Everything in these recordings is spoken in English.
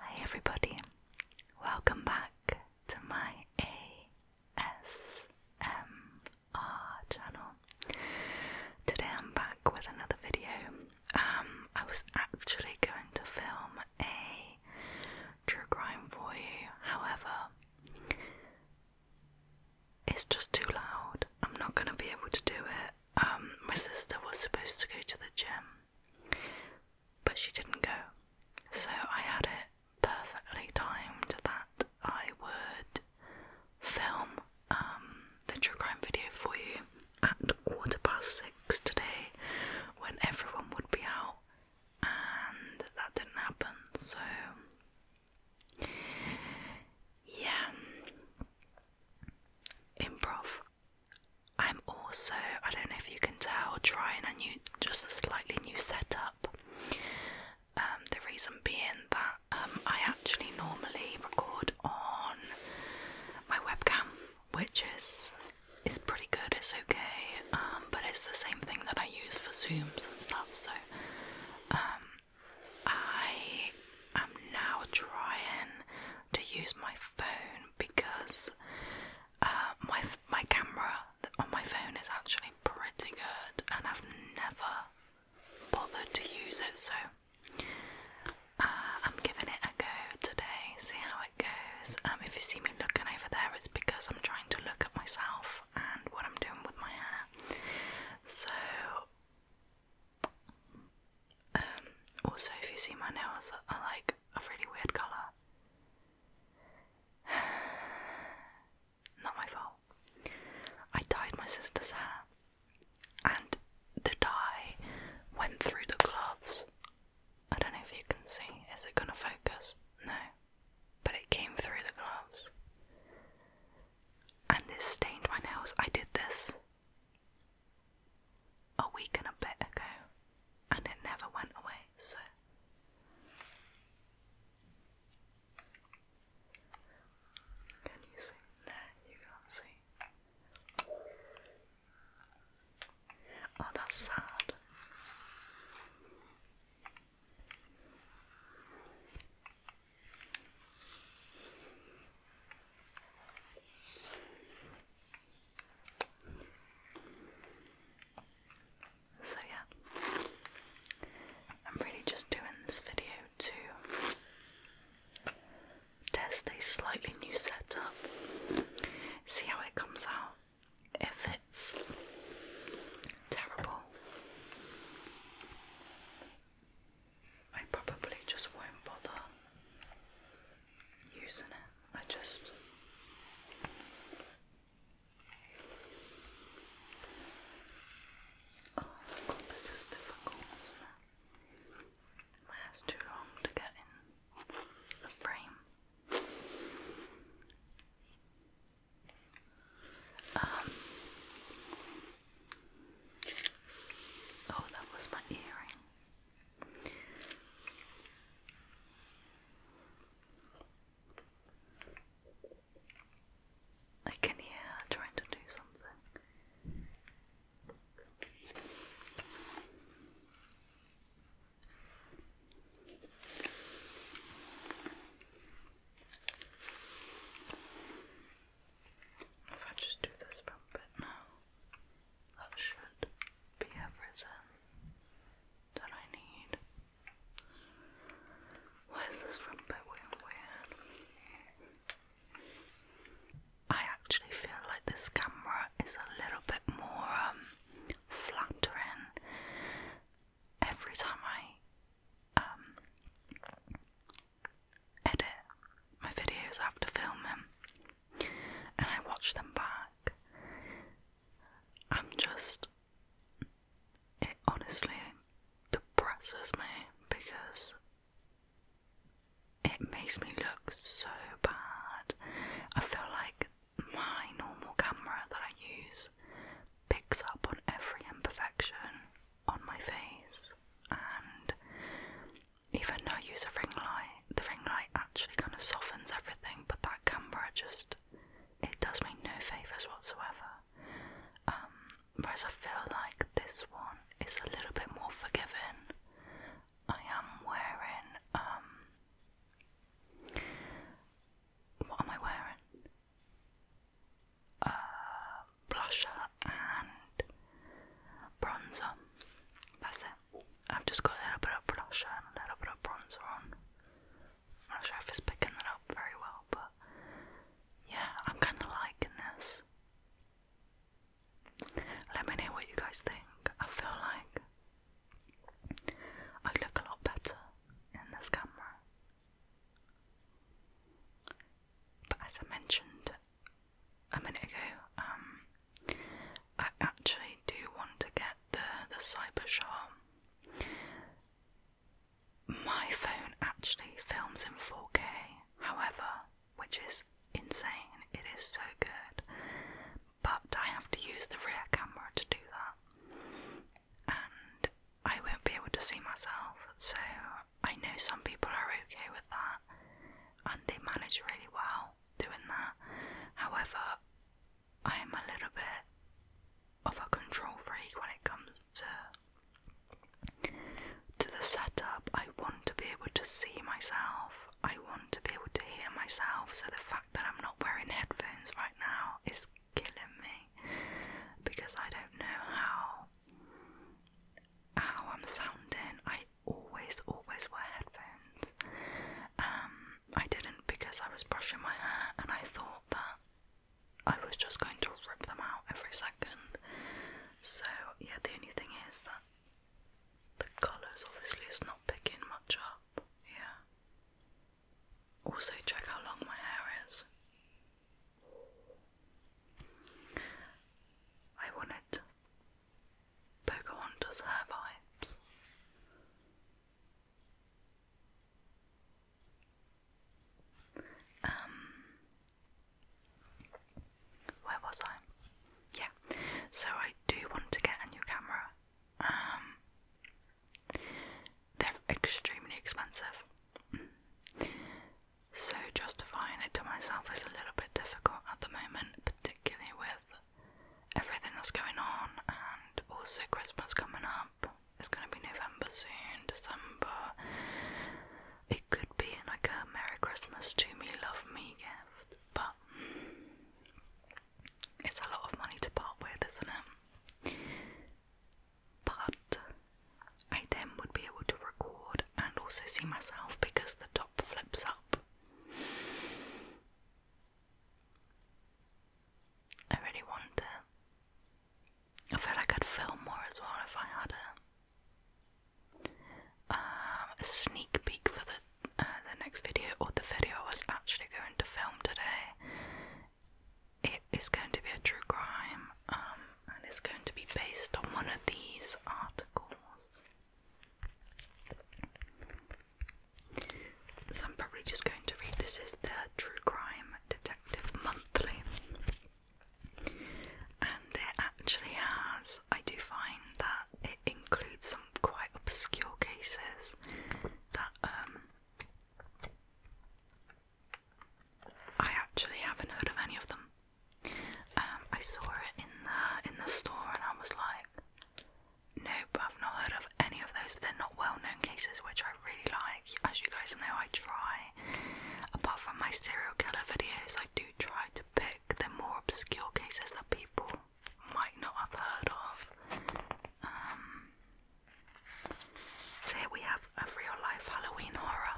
Hi, everybody, welcome back to my ASMR channel. Today, I'm back with another video. Um, I was actually going to film a true crime for you, however, it's just too loud. I'm not going to be able to do it. Um, my sister was supposed to go to the gym, but she didn't go. So I had it perfectly timed that I would film um, the true crime video for you at quarter past six today when everyone would be out and that didn't happen, so yeah. Improv. I'm also, I don't know if you can tell, trying a new, just a slightly new setup. Um, the reason being that um, I actually normally record on my webcam, which is is pretty good. It's okay. Um, but it's the same thing that I use for Zooms and stuff. So um, I am now trying to use my phone because uh, my my camera on my phone is actually pretty good, and I've never bothered to use it. So. Uh, I'm giving it a go today, see how it goes. Um, if you see me looking over there, it's because I'm trying to look at myself and what I'm doing with my hair. So, um, also, if you see my nails are like a really weird colour, not my fault. I dyed my sister's hair, and the dye went through the gloves. I don't know if you can see. Is it gonna focus? No but it came through the gloves. And this stained my nails. I did this a week and a bit ago, and it never went away, so. Can you see? No, you can't see. Oh, that's sad. So, yeah, I'm really just doing this video to test a slightly new setup, see how it comes out if it's terrible, I probably just won't bother using it. I just Oh this is difficult, My hair's too long to get in a frame. Um, oh, that was my earring. I can hear her trying to do something. If I just do this front bit now, that should be everything that I need. Why this front bit weird? I actually feel like this camera is a little bit more um, flattering. Every time I um, edit my videos after filming and I watch them back, I'm just. It honestly depresses me because it makes me look so bad. I feel like my normal camera that I use picks up on every imperfection on my face, and even though I use a ring light, the ring light actually kind of softens everything, but that camera just it does me no favours whatsoever. Um, whereas I feel like this one is a little bit more forgiving I am wearing um what am I wearing? Uh blusher and bronzer. That's it. I've just got a little bit of blusher and a little bit of bronzer on. I'm not sure if it's picking that up very well, but yeah, I'm kinda liking this. Let me know what you guys think. I feel like I look a lot better in this camera. But as I mentioned a minute ago, um, I actually do want to get the, the Cybershot. My phone actually films in 4K, however, which is insane. It is so good but I have to use the rear camera to do that, and I won't be able to see myself. So I know some people are okay with that, and they manage really well doing that. However, I am a little bit of a control freak when it comes to to the setup. I want to be able to see myself. I want to be able to hear myself. So the fact that I'm not wearing headphones right now is killing me because I don't know how how I'm sounding. I always always wear headphones. Um I didn't because I was brushing my hair and I thought that I was just going to rip them out every second. So yeah the only thing is that the colours obviously is not picking much up here. Also, check how long my hair is. I wanted Pocahontas hair vibes. Um, where was I? yeah, so I do want to get a new camera. Um, they're extremely expensive, mm. so justifying it to myself is a little bit difficult at the moment, particularly with everything that's going on, and also Christmas coming up. It's going to be November soon, December. It could be like a Merry Christmas to me, love me gift but it's a lot of money to part with, isn't it? But I then would be able to record and also see myself because the top flips up. I really want I feel like I'd film more as well if I had a. Um, a sneak peek for the uh, the next video or the video I was actually going to film today. It is going to be a true crime, um, and it's going to be based on one of these articles. So I'm probably just going to read this is the True Crime Detective Monthly. And it actually has I do find that it includes some quite obscure cases that um, I actually haven't heard of any of them. Um, I saw it in the in the store and I was like, nope, I've not heard of any of those. They're not well-known cases, which I really like. As you guys know, I try. Apart from my serial killer videos, I do try to pick the more obscure cases that people might not have heard of. Um, so here we have a real life Halloween horror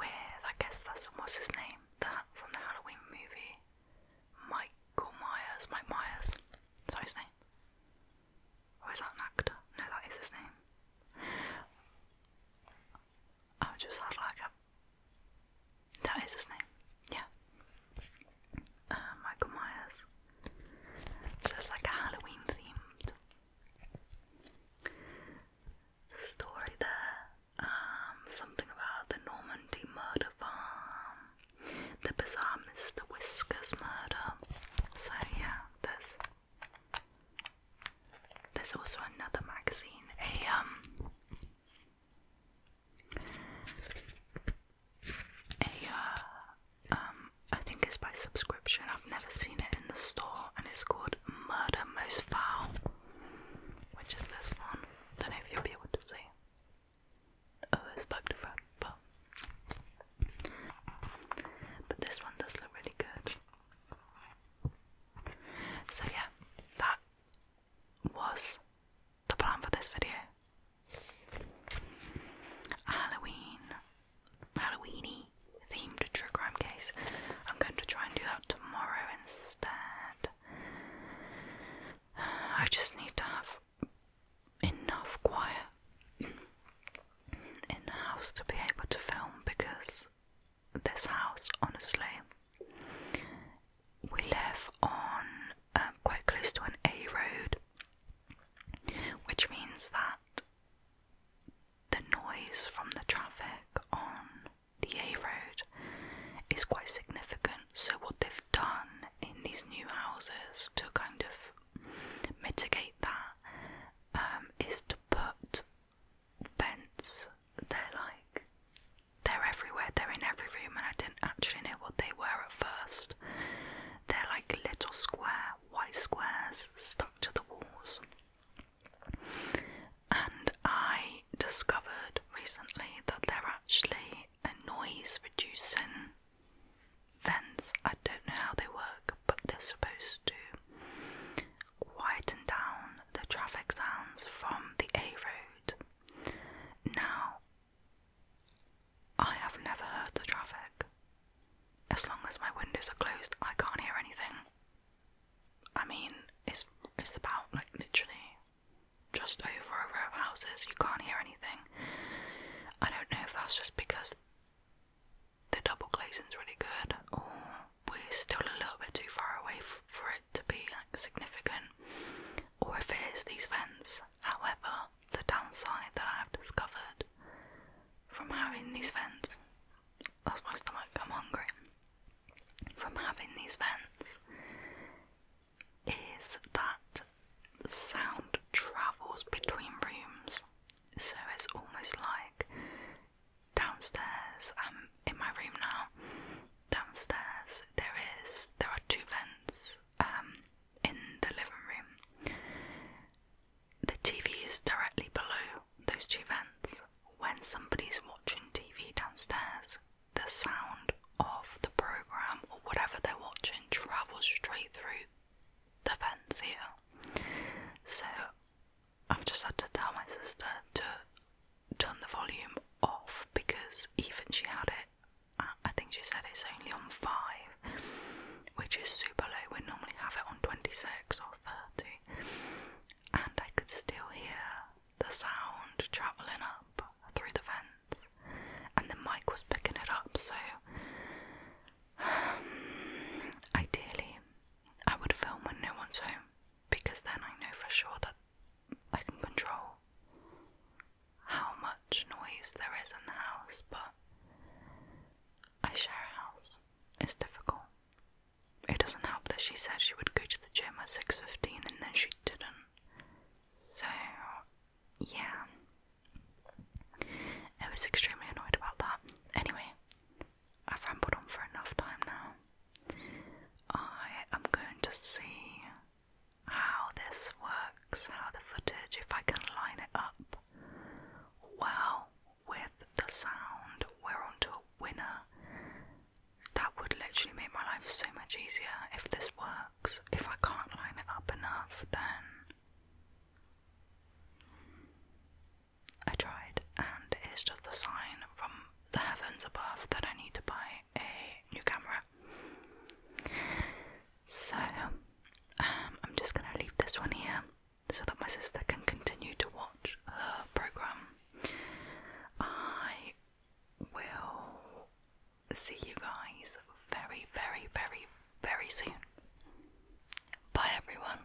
with, I guess that's what's his name, that from the Halloween movie, Michael Myers, Mike Myers, is his name? Or that actor? No, that is his name. Arjus Harlaga. That is his name. Yeah. Uh, Michael Myers. So like a Halloween themed story there. Um, something about the Normandy murder farm, the bizarre Mr. Whiskers murder. So yeah, there's there's also another magazine, a um a uh, um I think it's by subscription. I've never seen it in the store, and it's called Murder Most Foul, which is this one. Don't know if you'll be able to see. Oh, it's bugged front, but but this one does look really good. So yeah, that was the plan for this video. Halloween, Halloweeny themed true crime case. I'm going to try and do that tomorrow instead. I just need to have enough quiet in the house to be able to film because this house, honestly. We live on um, quite close to an A road, which means that the noise from the traffic on the A road is quite significant. So, what they've done in these new houses to kind of mitigate that um, is to put vents. They're like they're everywhere. They're in every room, and I didn't actually know what they were at first. They're like little square, white squares stuck to the walls. And I discovered recently that they're actually a noise reducing vents. I don't know how they work, but they're supposed to quieten down the traffic sounds from the A road. Now, I have never heard the traffic. As long as my windows are closed, I can't hear anything. I mean, it's, it's about like literally just over a row of houses, you can't hear anything. I don't know if that's just because the double glazing's really good or we're still a little bit too far away for it to be like significant or if it is these vents. However, the downside that I have discovered from having these vents, that's my stomach, I'm hungry, from having these vents is that sound travels between rooms. So it's almost like downstairs. I'm um, in my room now. Downstairs, there is there are two vents um, in the living room. The TV is directly below those two vents. When somebody's watching TV downstairs, the sound of the program or whatever they're watching travels straight through the vents here. So I've just had to tell my sister to turn the volume off because even she had it. I think she said it's only on 5, which is super low. We normally have it on 26 or 30, and I could still hear the sound travelling up through the vents, and the mic was picking it up. So, ideally, I would film when no one's home because then I know for sure that I can control how much noise there is in the house, but I share a house. It's difficult. It doesn't help that she said she would go to the gym at 6.15 and then she didn't. So, yeah. I was extremely annoyed about that. Anyway, I've rambled on for enough time now. I am going to see how this works, how the footage, if I can line it up well with the sound. We're onto a winner. That would literally make my life so much easier if this works. If I can't line it up enough, then I tried, and it's just a sign from the heavens above that I need to buy a new camera. So, um, I'm just gonna leave this one here so that my sister can continue to watch her program. I will see you guys very, very, very, very soon. Bye, everyone.